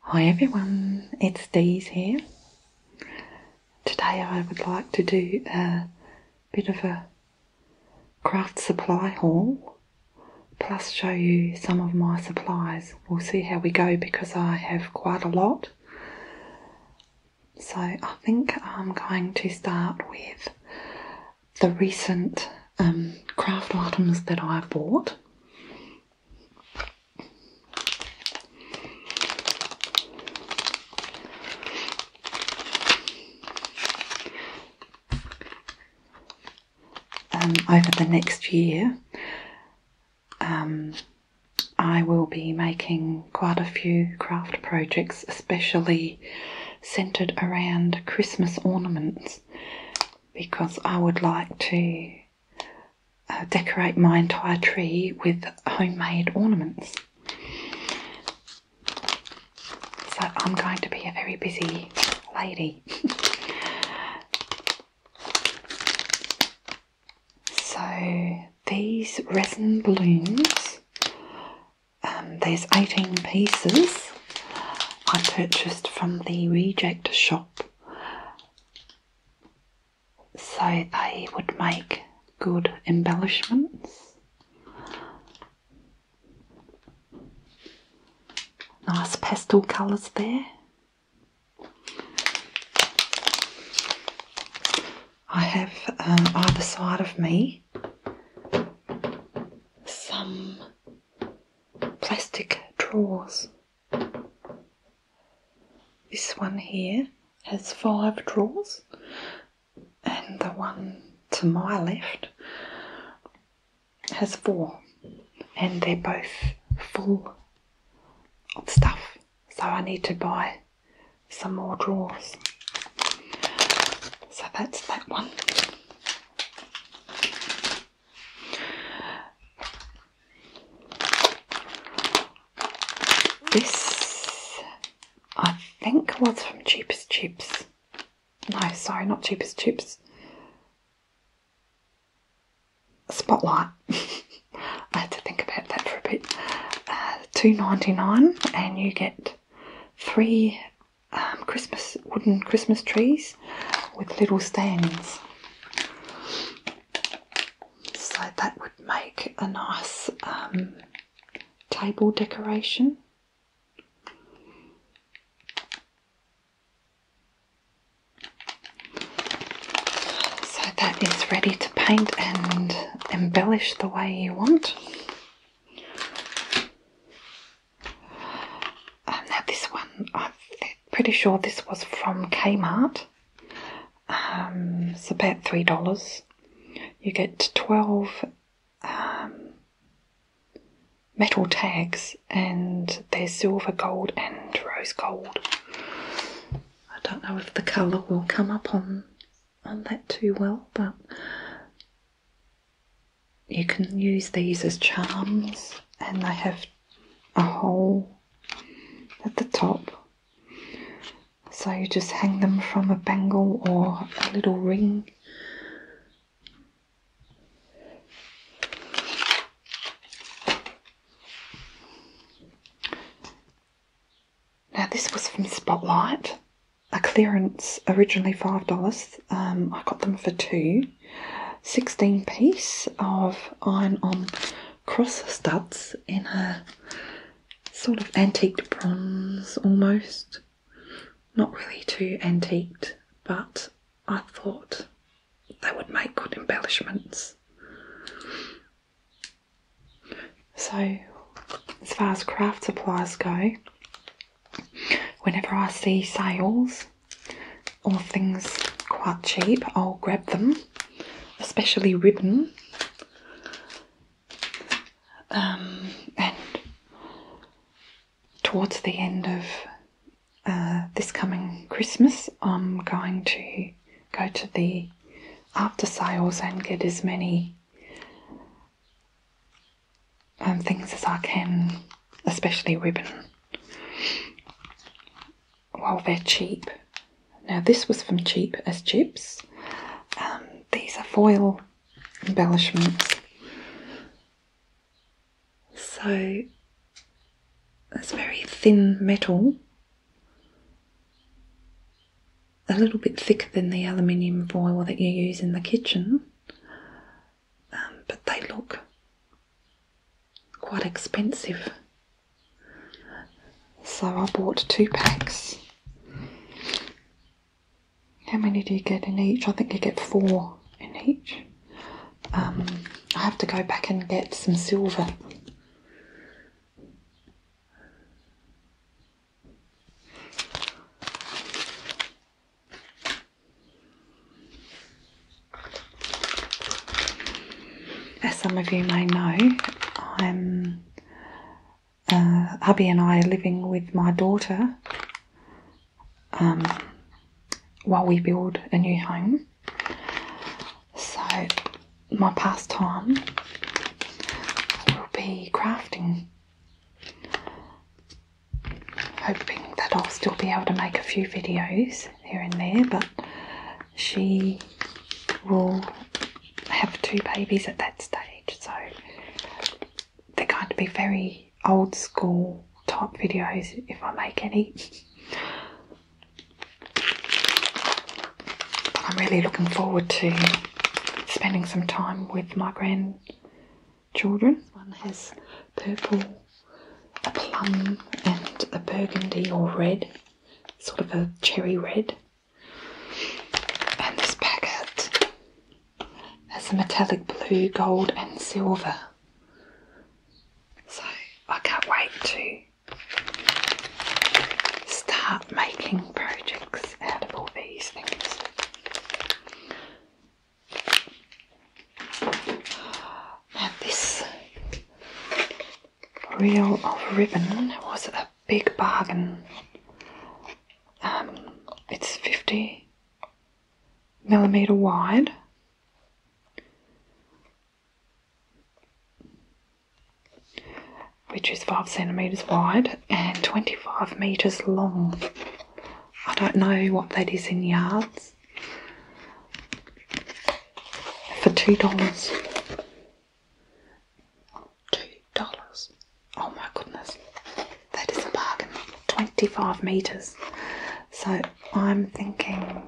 Hi everyone, it's Dee's here. Today I would like to do a bit of a craft supply haul plus show you some of my supplies. We'll see how we go because I have quite a lot. So I think I'm going to start with the recent um, craft items that I bought. Um, over the next year, um, I will be making quite a few craft projects, especially centered around Christmas ornaments, because I would like to uh, decorate my entire tree with homemade ornaments. So I'm going to be a very busy lady. so these resin balloons, um, there's 18 pieces I purchased from the reject shop so they would make good embellishments. Nice pastel colours there. I have um, either side of me some plastic drawers this one here has five drawers, and the one to my left has four, and they're both full of stuff. So I need to buy some more drawers. So that's that one. This, I think, was from Cheapest Chips. No, sorry, not Cheapest Chips. Spotlight. I had to think about that for a bit. Uh, two ninety nine, and you get three um, Christmas wooden Christmas trees with little stands. So that would make a nice um, table decoration. So that is ready to paint and embellish the way you want. Um, now, this one, I'm pretty sure this was from Kmart. Um, it's about $3. You get 12 um, metal tags, and they're silver, gold, and rose gold. I don't know if the colour will come up on on that too well, but you can use these as charms, and they have a hole at the top. So you just hang them from a bangle or a little ring. Now, this was from Spotlight, a clearance originally $5. Um, I got them for two. 16 piece of iron on cross studs in a sort of antiqued bronze almost. Not really too antiqued, but I thought they would make good embellishments. So, as far as craft supplies go, whenever I see sales, all things quite cheap, I'll grab them, especially ribbon. Um, and towards the end of uh, this coming Christmas, I'm going to go to the after sales and get as many um, things as I can, especially ribbon. Well, they're cheap. Now, this was from Cheap as Chips. Um, these are foil embellishments. So, it's very thin metal, a little bit thicker than the aluminium foil that you use in the kitchen, um, but they look quite expensive. So I bought two packs. How many do you get in each? I think you get four in each. Um, I have to go back and get some silver. As some of you may know, I'm uh, and I are living with my daughter um, while we build a new home. So my pastime will be crafting, hoping that I'll still be able to make a few videos here and there, but she will have two babies at that stage. So they're going to be very old school type videos if I make any. I'm really looking forward to spending some time with my grandchildren. One has purple a plum and a burgundy or red, sort of a cherry red. And this packet has a metallic blue, gold, and silver. So I can't wait to start making projects out of all these things this reel of ribbon was a big bargain. Um, it's 50 millimeter wide. Which is five centimeters wide and 25 meters long. I don't know what that is in yards for two dollars. Two dollars. Oh my goodness. That is a bargain. 25 meters. So I'm thinking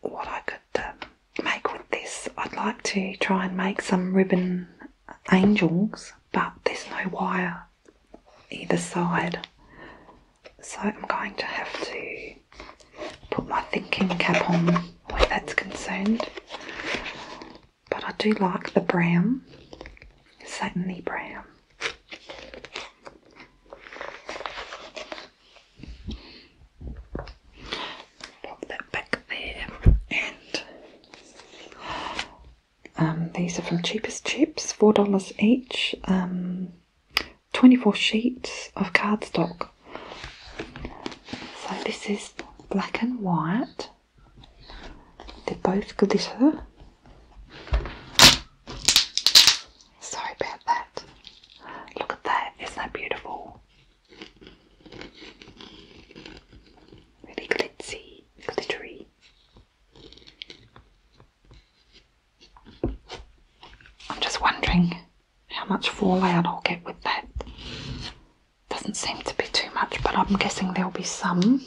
what I could um, make with this. I'd like to try and make some ribbon angels, but there's no wire either side so I'm going to have to put my thinking cap on where that's concerned. But I do like the brown, satiny brown. Pop that back there, and um, these are from Cheapest Chips, four dollars each. Um, 24 sheets of cardstock. So this is black and white. They're both glitter. Sorry about that. Look at that, isn't that beautiful? Really glitzy, glittery. I'm just wondering how much fallout I'll get with that. Doesn't seem to be too much, but I'm guessing there'll be some. Then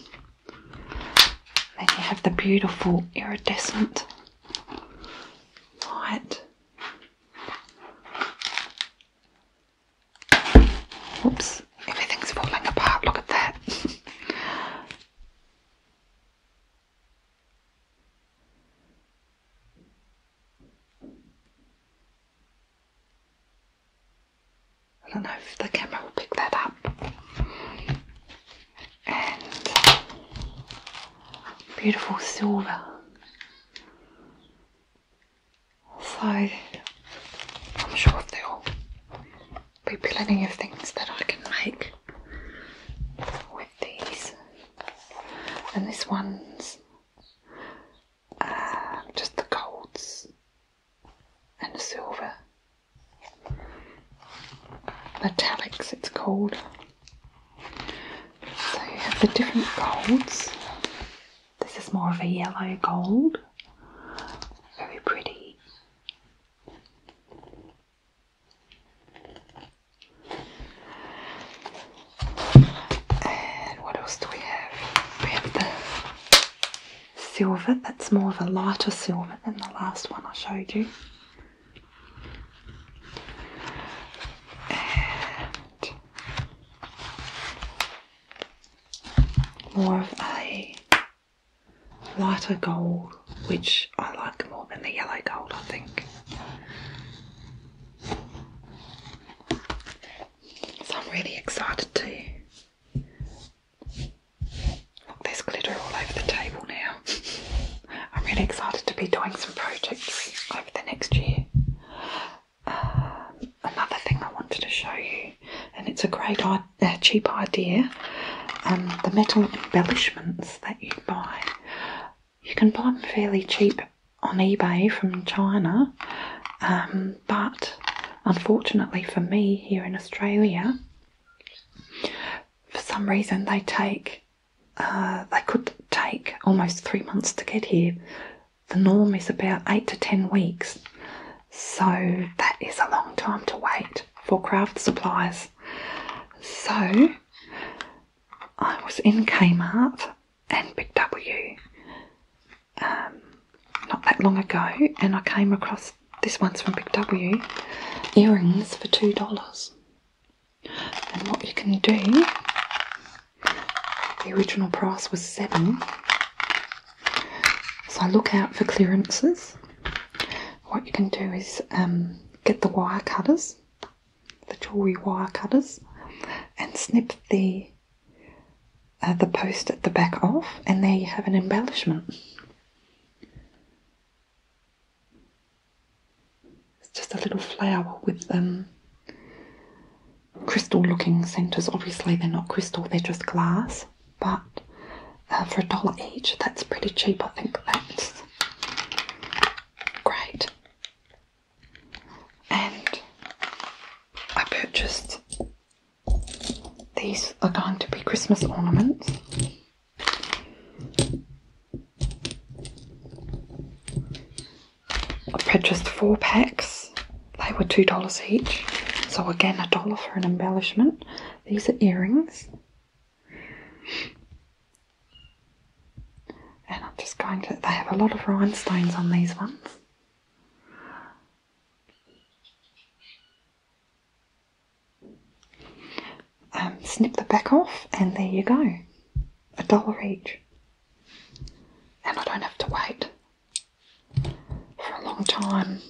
you have the beautiful iridescent light. Oops, everything's falling apart. Look at that. I don't know if the camera will pick that up. And beautiful silver. So I'm sure there'll be plenty of things that I can make with these, and this one's uh, just the golds and the silver metallics, it's called. So you have the different golds. This is more of a yellow gold, very pretty. And what else do we have? We have the silver, that's more of a lighter silver than the last one I showed you. And more of a lighter gold which I like more than the yellow gold, I think. I'm really excited to. Look, there's glitter all over the table now. I'm really excited to be doing some projects over the next year. Um, another thing I wanted to show you, and it's a great, uh, cheap idea um, the metal embellishments that you buy you can buy them fairly cheap on eBay from China, um, but unfortunately for me here in Australia, for some reason they take uh, they could take almost three months to get here. The norm is about eight to ten weeks, so that is a long time to wait for craft supplies. So I was in Kmart and Big W um, not that long ago, and I came across this one's from Big W earrings for two dollars. And what you can do, the original price was seven. So look out for clearances. What you can do is um, get the wire cutters the jewelry wire cutters and snip the uh, the post at the back off and there you have an embellishment. It's just a little flower with um, crystal looking centres. Obviously they're not crystal, they're just glass. But uh, for a dollar each, that's pretty cheap. I think that's great. And I purchased these are going to be Christmas ornaments. I purchased four packs. They were two dollars each. So again a dollar for an embellishment. These are earrings. And I'm just going to, they have a lot of rhinestones on these ones. Um, snip the back off, and there you go. A dollar each. And I don't have to wait for a long time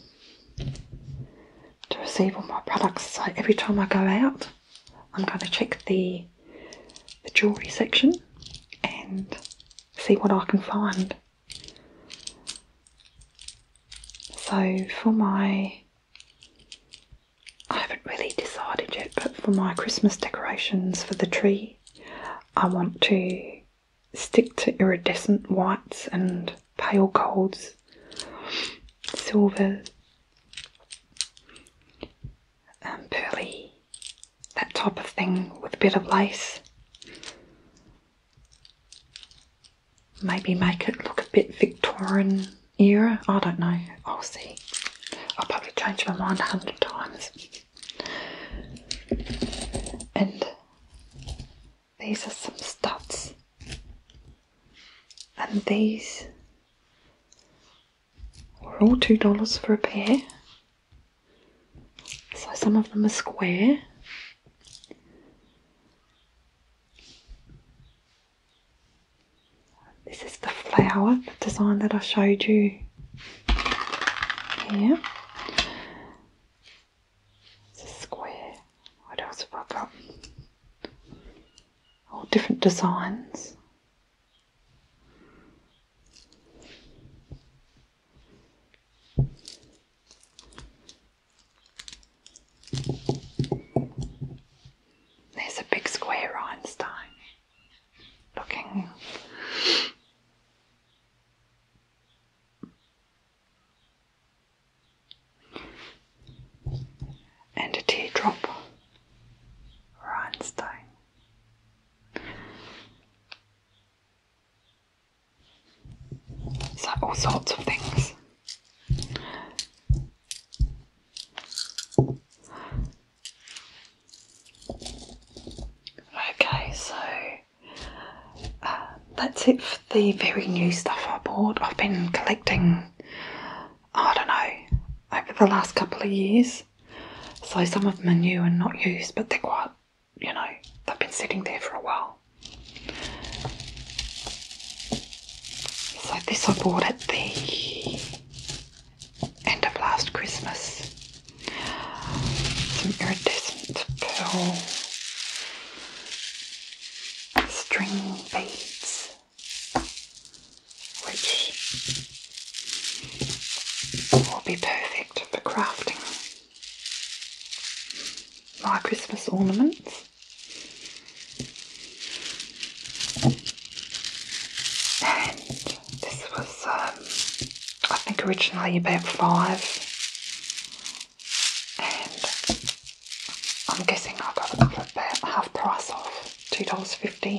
to receive all my products. So every time I go out, I'm going to check the, the jewellery section and see what I can find. So for my, I haven't really decided yet, but for my Christmas decorations for the tree, I want to stick to iridescent whites and pale golds, silver, um, pearly, that type of thing with a bit of lace. Maybe make it look a bit Victorian era. I don't know. I'll see. I'll probably change my mind a hundred times. And these are some studs. And these are all two dollars for a pair. So some of them are square. This is the flower, design that I showed you here. It's a square. What else have I got? All different designs. There's a big square Einstein looking and a teardrop Rhinestone. So all sorts of things. Okay, so uh, that's it for the very new stuff I bought. I've been collecting I don't know, over the last couple of years. So some of them are new and not used, but they're quite, you know, they've been sitting there for a while. So this I bought at the end of last Christmas. Some iridescent pearl string beads which will be perfect for crafting my Christmas ornaments. And this was, um, I think, originally about five, and I'm guessing I got about half price off, $2.50.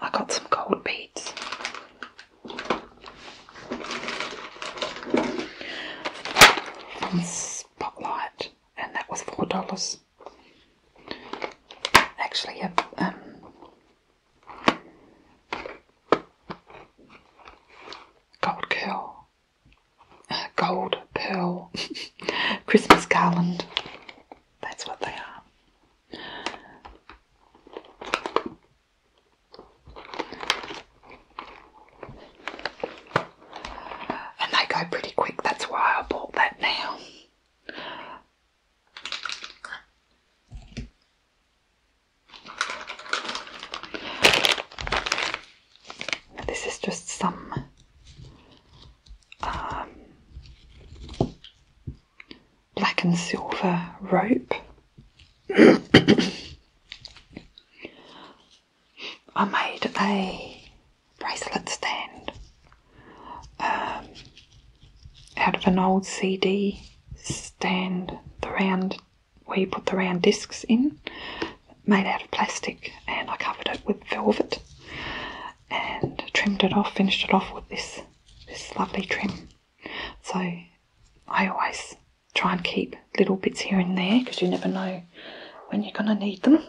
I got some gold beads. Spotlight, and that was four dollars. Actually, a um, gold curl, uh, gold pearl Christmas garland. That's what they are. And they go pretty quick, that's why I bought that now. This is just some um, black and silver rope. I made a bracelet stand um, out of an old CD stand, the round where you put the round discs in, made out of plastic, and I covered it with velvet and trimmed it off, finished it off with this this lovely trim. So I always try and keep little bits here and there because you never know when you're going to need them.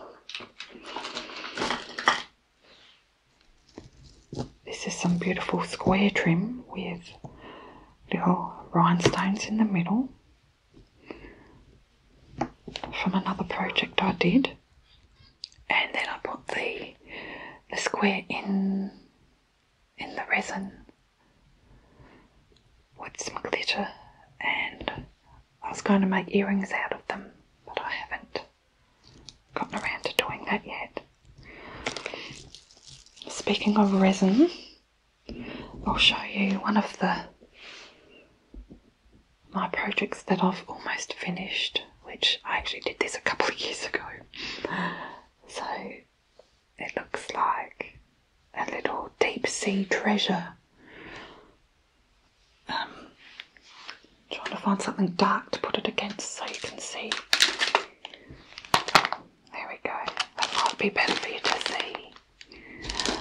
This is some beautiful square trim with little rhinestones in the middle from another project I did. And then I put the, the square in in the resin with some glitter, and I was going to make earrings out of them, but I haven't gotten around to doing that yet. Speaking of resin, I'll show you one of the my projects that I've almost finished, which I actually did this a couple of years ago. So it looks like a little deep sea treasure. Um, trying to find something dark to put it against so you can see. There we go. That might be better for you to see.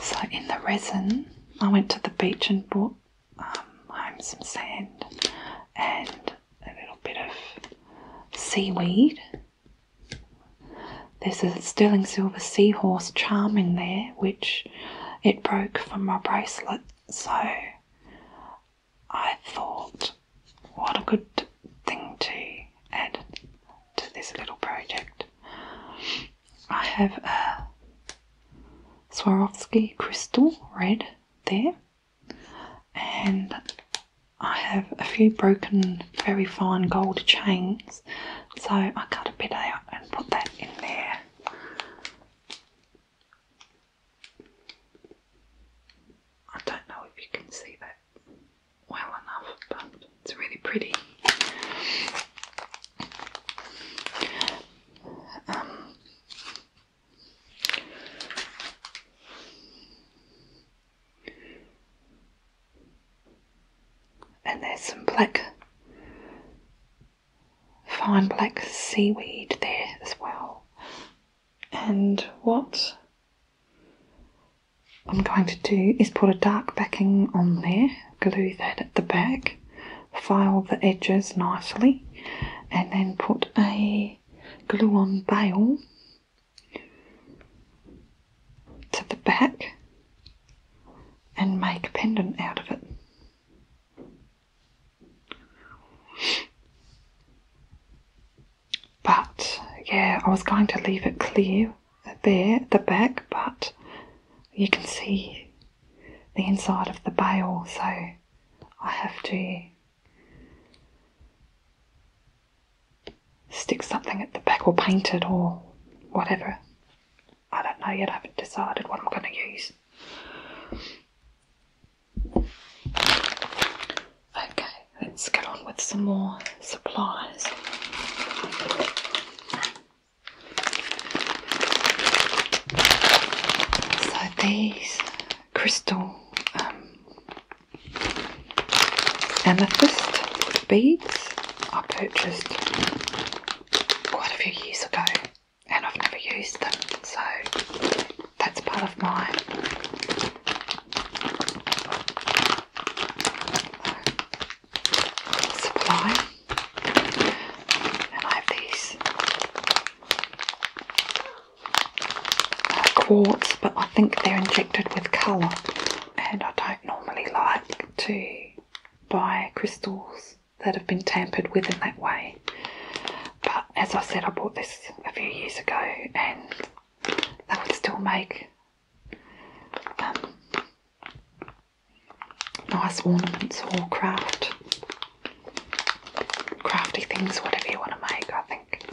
So in the resin, I went to the beach and bought um, home some sand and a little bit of seaweed. There's a sterling silver seahorse charm in there, which it broke from my bracelet, so I thought, what a good thing to add to this little project. I have a Swarovski crystal red there and I have a few broken very fine gold chains so I cut a bit out and put that in there. I don't know if you can see that well enough but it's really pretty. Um, and there's some black, fine black seaweed there as well. And what I'm going to do is put a dark backing on there, glue that at the back, file the edges nicely, and then put a glue-on bail to the back and make a pendant out of it. But yeah, I was going to leave it clear there at the back, but you can see the inside of the bail, so I have to stick something at the back or paint it or whatever. I don't know yet, I haven't decided what I'm going to use. Okay, let's get on with some more supplies. So these crystal um, amethyst beads I purchased quite a few years ago and I've never used them so that's part of my uh, supply I have these quartz, but I think they're injected with colour, and I don't normally like to buy crystals that have been tampered with in that way. But as I said, I bought this a few years ago, and that would still make um, nice ornaments or craft crafty things, whatever you want to make, I think.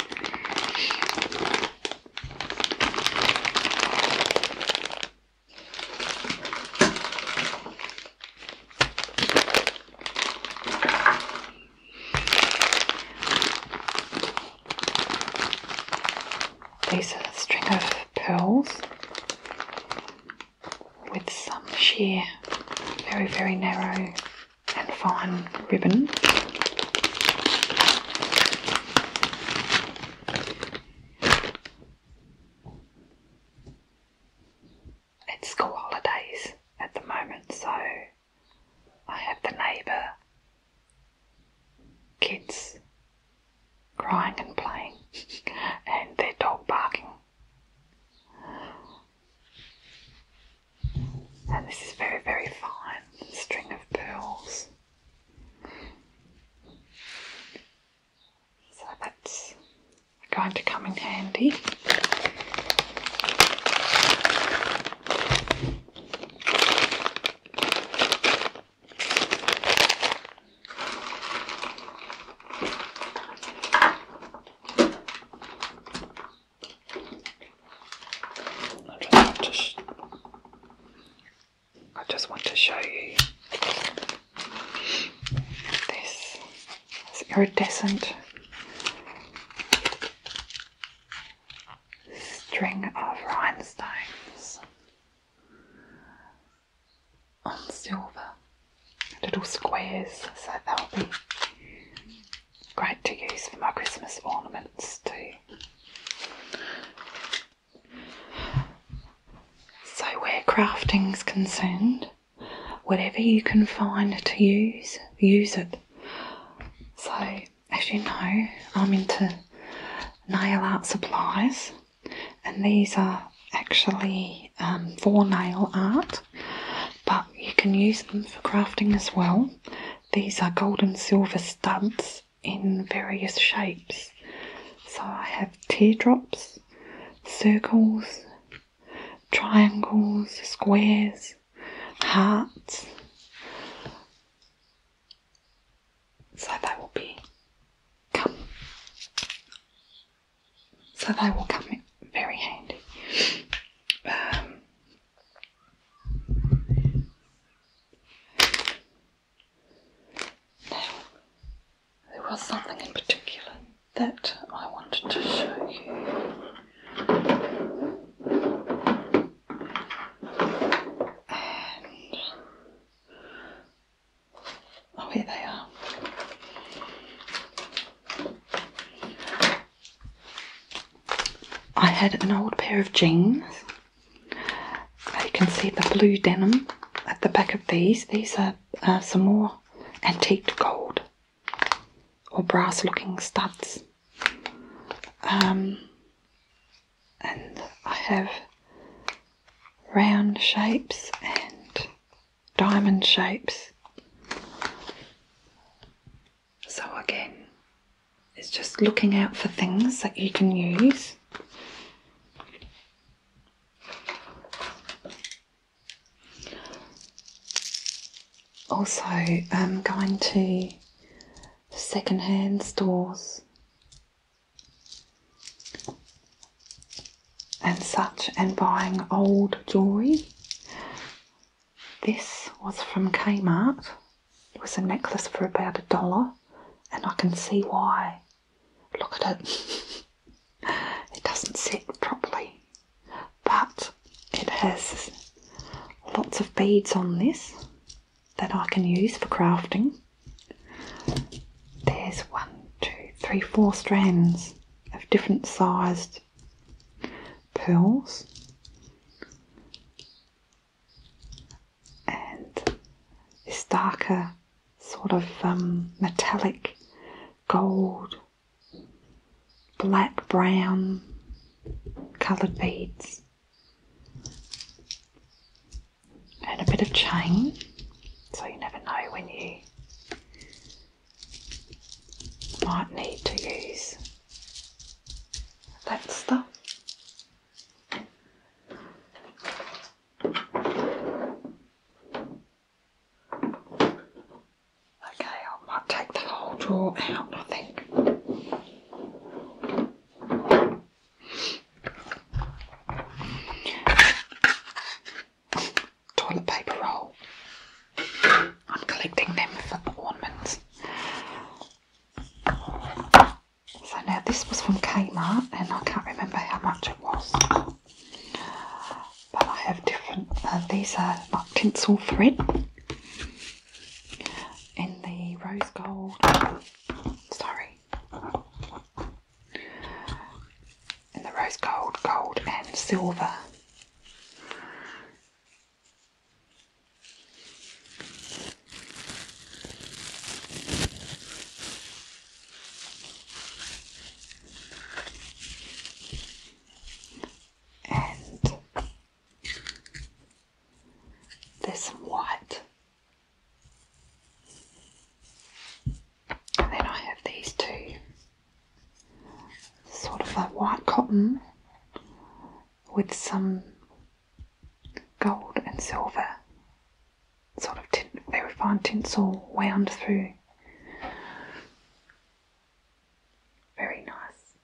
These are a string of pearls with some sheer, very, very narrow and fine ribbon. It's school holidays at the moment, so I have the neighbour kids crying and playing, and their dog barking. And this is very, very fine string of pearls. So that's going to come in handy. I just want to, show you this. It's iridescent string of rhinestones on silver, little squares, so that'll be great to use for my Christmas ornaments too. So, where crafting's concerned, whatever you can find to use, use it. So, as you know, I'm into nail art supplies, and these are actually um, for nail art. But you can use them for crafting as well. These are gold and silver studs in various shapes. So I have teardrops, circles, triangles, squares, hearts. So they will be come. So they will come in very handy. Um, now, there was something in particular that I wanted to show you. oh, here they are. I had an old pair of jeans. You can see the blue denim at the back of these. These are uh, some more antique gold or brass looking studs. Um, and I have round shapes and diamond shapes. So, again, it's just looking out for things that you can use. Also, um, going to second-hand stores and such and buying old jewellery this was from Kmart. It was a necklace for about a dollar, and I can see why. Look at it. it doesn't sit properly, but it has lots of beads on this that I can use for crafting. There's one, two, three, four strands of different sized amethyst, pearls, and this darker sort of um, metallic gold, black brown coloured beads, and a bit of chain so you never know when you might need to use Let's Okay, I might take the whole drawer out, I think. Toilet paper roll. I'm collecting them for ornaments. So now this was from Kmart and I can't remember how much it was. But I have different, uh, these are like tinsel thread in the rose gold, sorry, in the rose gold, gold and silver. And this white. And then I have these two sort of like white cotton with some gold and silver sort of tin, very fine tinsel wound through. Very nice.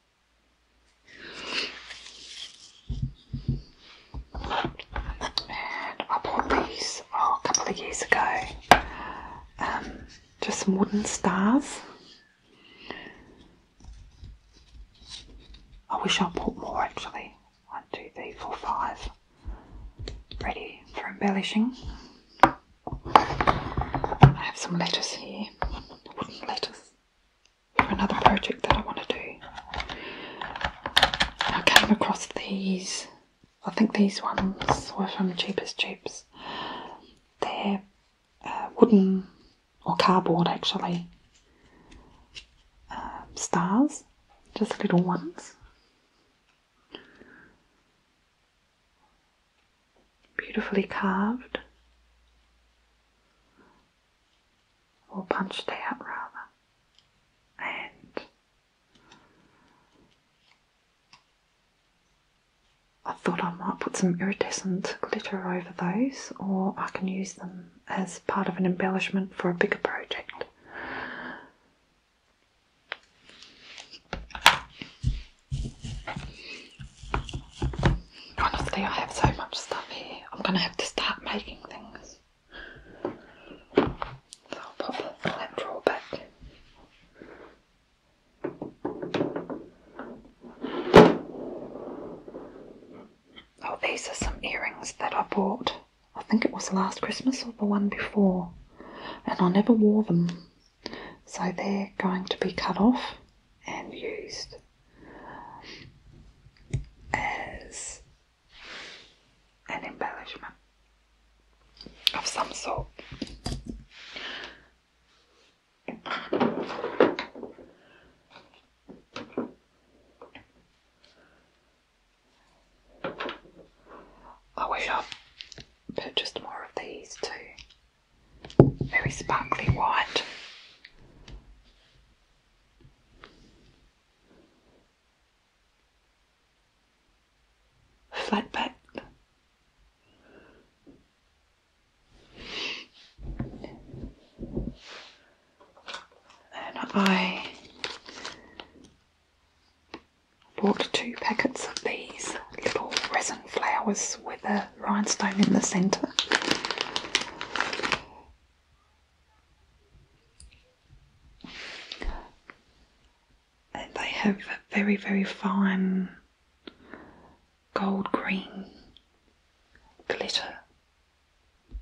I bought these oh, a couple of years ago. Um, just some wooden stars. I wish I put more actually. One, two, three, four, five. Ready for embellishing. I have some letters here, wooden letters for another project that I want to do. I came across these, I think these ones were from Cheapest Cheaps. They're uh, wooden or cardboard actually, um, stars, just little ones. Beautifully carved, or punched out rather, and I thought I might put some iridescent glitter over those, or I can use them as part of an embellishment for a bigger project. Honestly, I have so much stuff here. I'm going to have to start making things. So I'll pop that drawer back. Oh, these are some earrings that I bought. I think it was last Christmas or the one before, and I never wore them. So they're going to be cut off and used as an embellishment of some sort. I wish I'd purchased more of these too. Very sparkly white. Flat back. Then I bought two packets of these little resin flowers with a rhinestone in the centre. they have very, very fine gold green glitter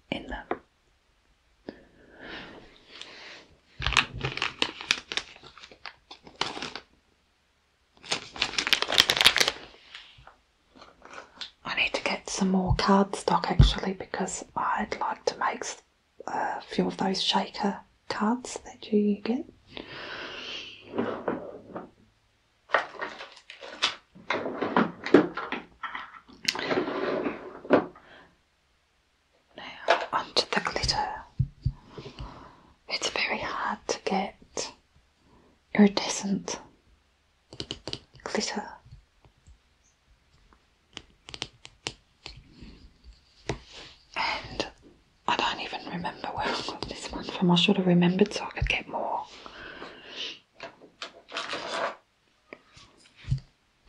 in them. I need to get some more cardstock actually because I'd like to make uh, a few of those shaker cards that you get. Now onto the glitter. It's very hard to get iridescent glitter. And I don't even remember where I got this one from. I should have remembered so I could get more.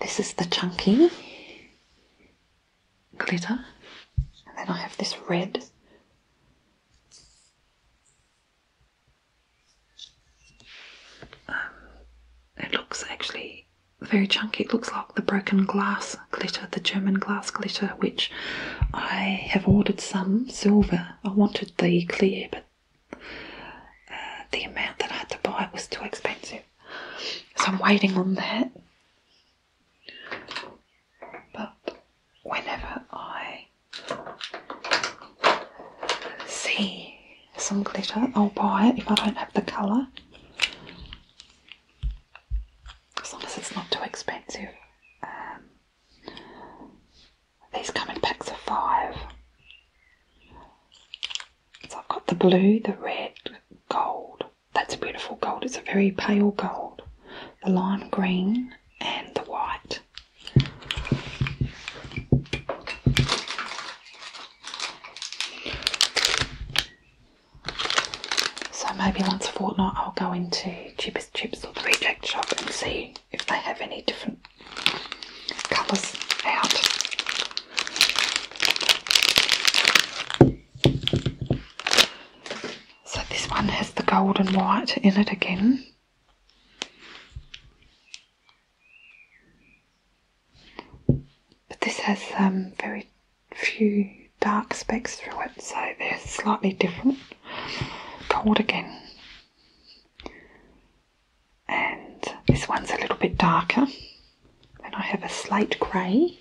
This is the chunky glitter, and then I have this red. Um, it looks actually very chunky. It looks like the broken glass glitter, the German glass glitter, which I have ordered some silver I wanted the clear, but uh, the amount that I had to buy was too expensive. So I'm waiting on that. But whenever I see some glitter, I'll buy it if I don't have the colour. As long as it's not too expensive. Um, these come in packs of five. So I've got the blue, the red, gold. That's a beautiful gold. It's a very pale gold. The lime green and the white. So maybe once a fortnight I'll go into Cheapest Chips or the Reject Shop and see if they have any different colours out. So this one has the gold and white in it again. But this has um, very few dark specks through it, so they're slightly different. Gold again. And this one's a little bit darker. Then I have a slate grey.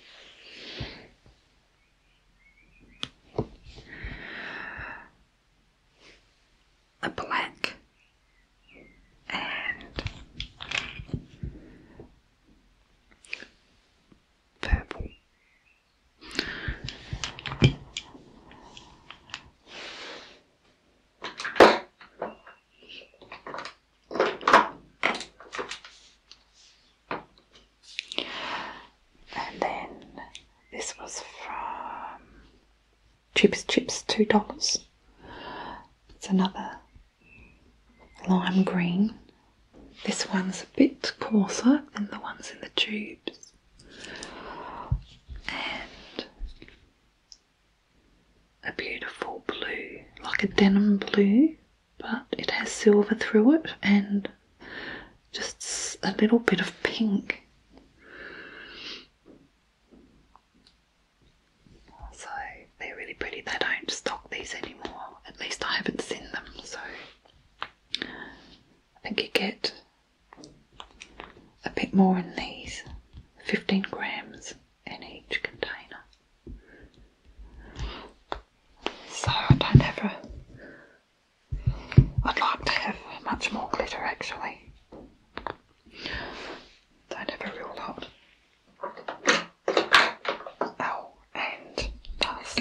A black and purple and then this was from Chips Chips, two dollars. It's another lime green. This one's a bit coarser than the ones in the tubes and a beautiful blue, like a denim blue, but it has silver through it and just a little bit of pink. So they're really pretty. They don't stock these anymore. At least I haven't seen them. So I think you get a bit more in these, 15 grams in each container. So I don't have a. I'd like to have much more glitter actually. Don't have a real lot. Oh, and dust.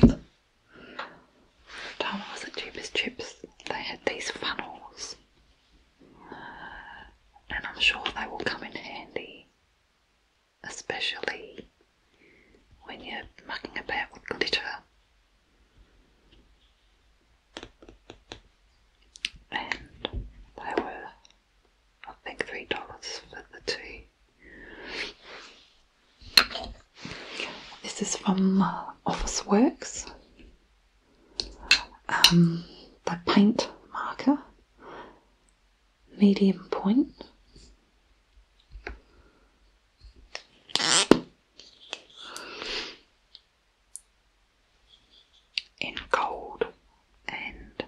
Down was the cheapest chips. They had these funnels, uh, and I'm sure they will come in handy, especially when you're mucking about with glitter. And they were, I think, three dollars for the two. This is from uh, Office Works. Um, the paint marker, medium point. In gold and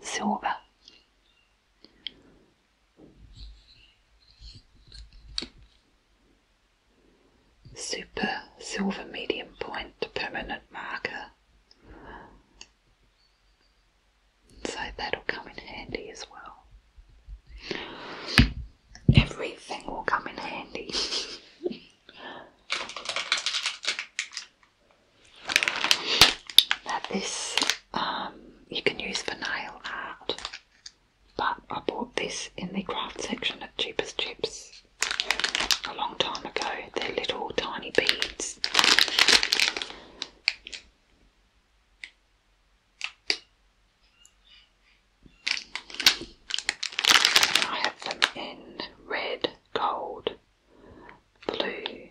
silver, Super silver medium point permanent marker. So that'll come in handy as well. Everything will come in handy. this um, you can use for nail art but I bought this in the craft section at Cheapest Chips a long time ago. They're little tiny beads. I have them in red, gold, blue,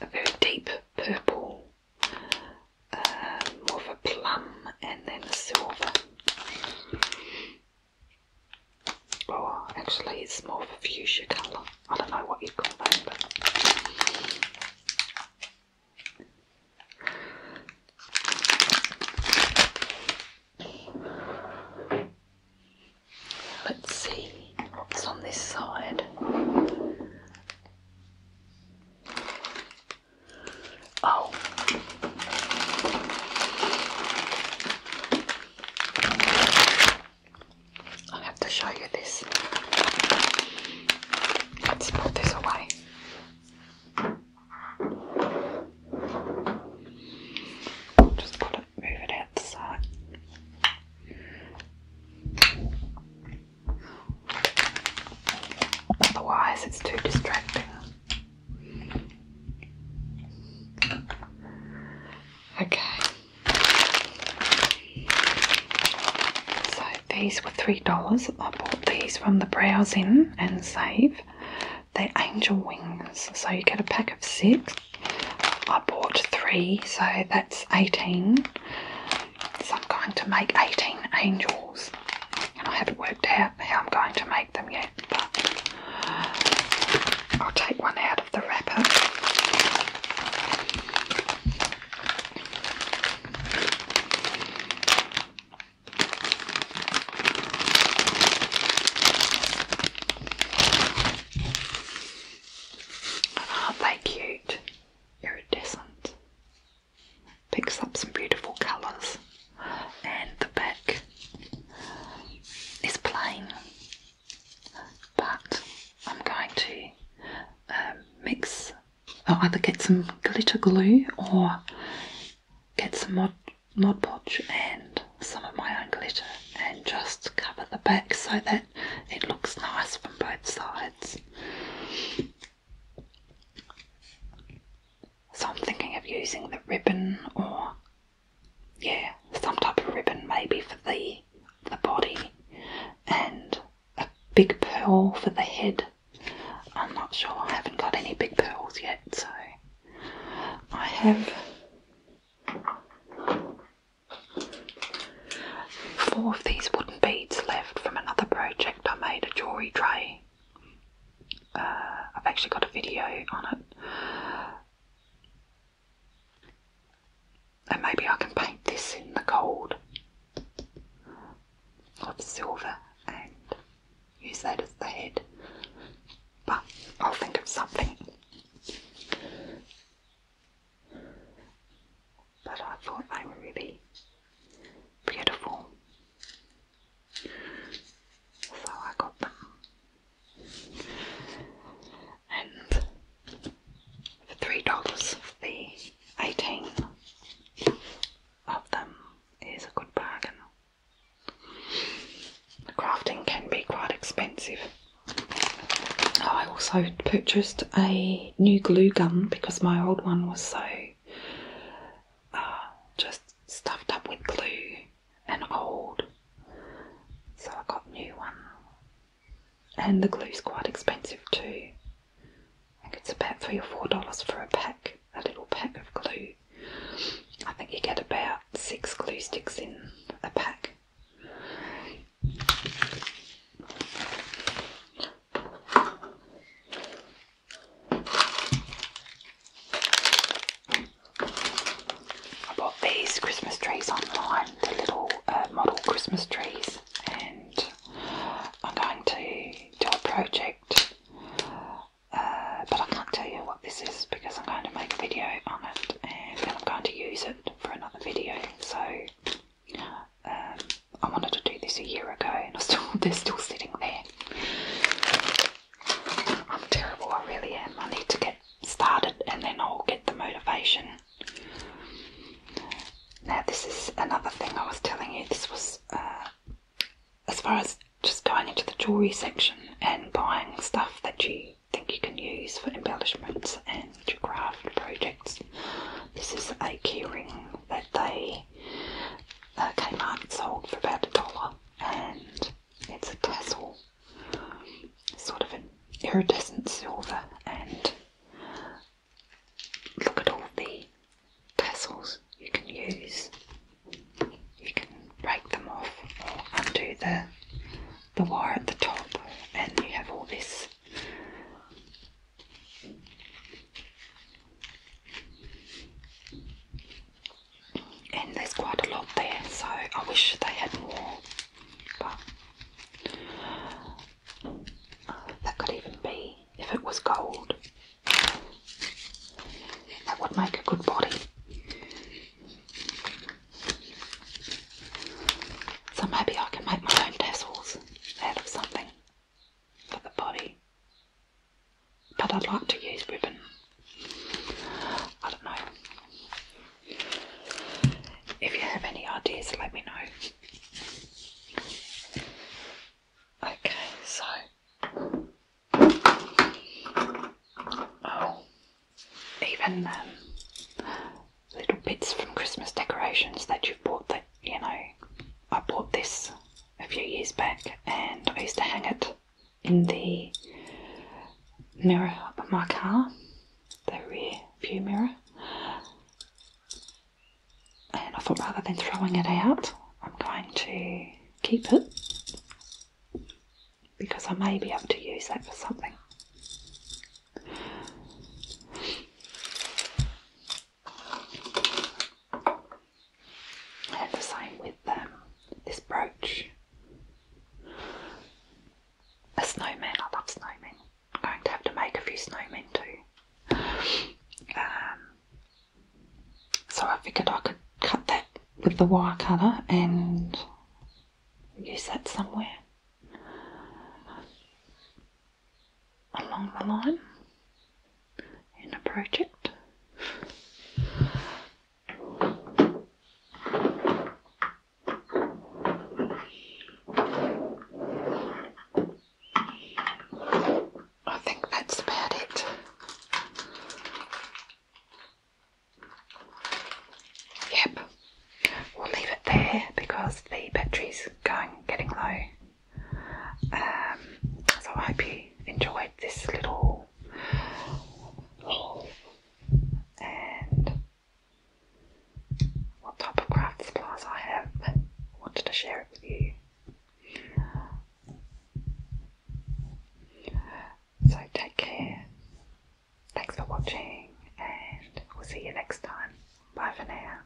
a very deep purple, uh, more of a plum and then silver. Oh, actually it's more of a fuchsia colour. I don't know what you'd call that, but... Let's see what's on this side. Oh. I have to show you this. Let's put this away. Just put it, move it out the side. Otherwise, it's too distracting. Okay. So these were $3. I bought these from the Browse In and Save. they angel wings. So you get a pack of six. I bought three, so that's 18. So I'm going to make 18 angels, and I haven't worked out how I'm going to make them yet, but I'll take one out of the wrapper. Aren't they cute? Iridescent picks up some beautiful colours, and the back is plain, but I'm going to um, mix. i either get some glitter glue or get some mod, mod podge and some of my own glitter and just cover the back so that it looks nice from both sides. So I'm thinking of using the ribbon or yeah, some type of ribbon maybe for the the body and a big pearl for the head. I'm not sure, I haven't got any big pearls yet, so I have four of these wooden beads left from another project I made a jewellery tray I've actually got a video on it. And maybe I can paint this in the gold of silver and use that as the head. But I'll think of something but I thought they were really beautiful. So I got them. And for three dollars, the eighteen of them is a good bargain. crafting can be quite expensive. I also purchased a new glue gun because my old one was so just stuffed up with glue and old. So I got new one. And the glue's quite expensive too. I think it's about three or four dollars for a pack, a little pack of glue. I think you get about six glue sticks in a pack. I bought these Christmas trees online, the little uh, model Christmas trees, and I'm going to do a project, uh, but I can't tell you what this is because I'm going to make a video on it and then I'm going to use it for another video. So um, I wanted to do this a year ago and they're still sitting there. I'm terrible, I really am. I need to get started and then I'll get the motivation. Now, this is another thing I was telling you. This was uh, as far as just going into the jewellery section and buying stuff that you think you can use for embellishments and your craft projects. This is a keyring that they uh, Kmart sold for about a dollar and it's a tassel, sort of an iridescent silver and look at all the tassels you can use. You can break them off or undo the, the wire at the top and you have all this and there's quite a lot there, so I wish they had more. But that could even be if it was gold. That would make a good body. So I'm happy I can make my own tassels out of something for the body. But I'd like to use ribbon. I don't know. If you have any ideas, let me know. Okay, so. Oh, even um, little bits from Christmas decorations that you bought that, you know, I bought this a few years back, and I used to hang it in the mirror of my car, the rear view mirror. And I thought rather than throwing it out, I'm going to keep it because I may be able to use that for something. Have the same with um, this brooch. A snowman, I love snowmen. I'm going to have to make a few snowmen too. Um, so I figured I could cut that with the wire cutter and use that somewhere along the line in a project. I think that's about it. Yep, we'll leave it there because the battery's going getting low. Um, so I hope you enjoyed this little haul and what type of craft supplies I have. I wanted to share it with you. So take care. Thanks for watching and we'll see you next time. Bye for now.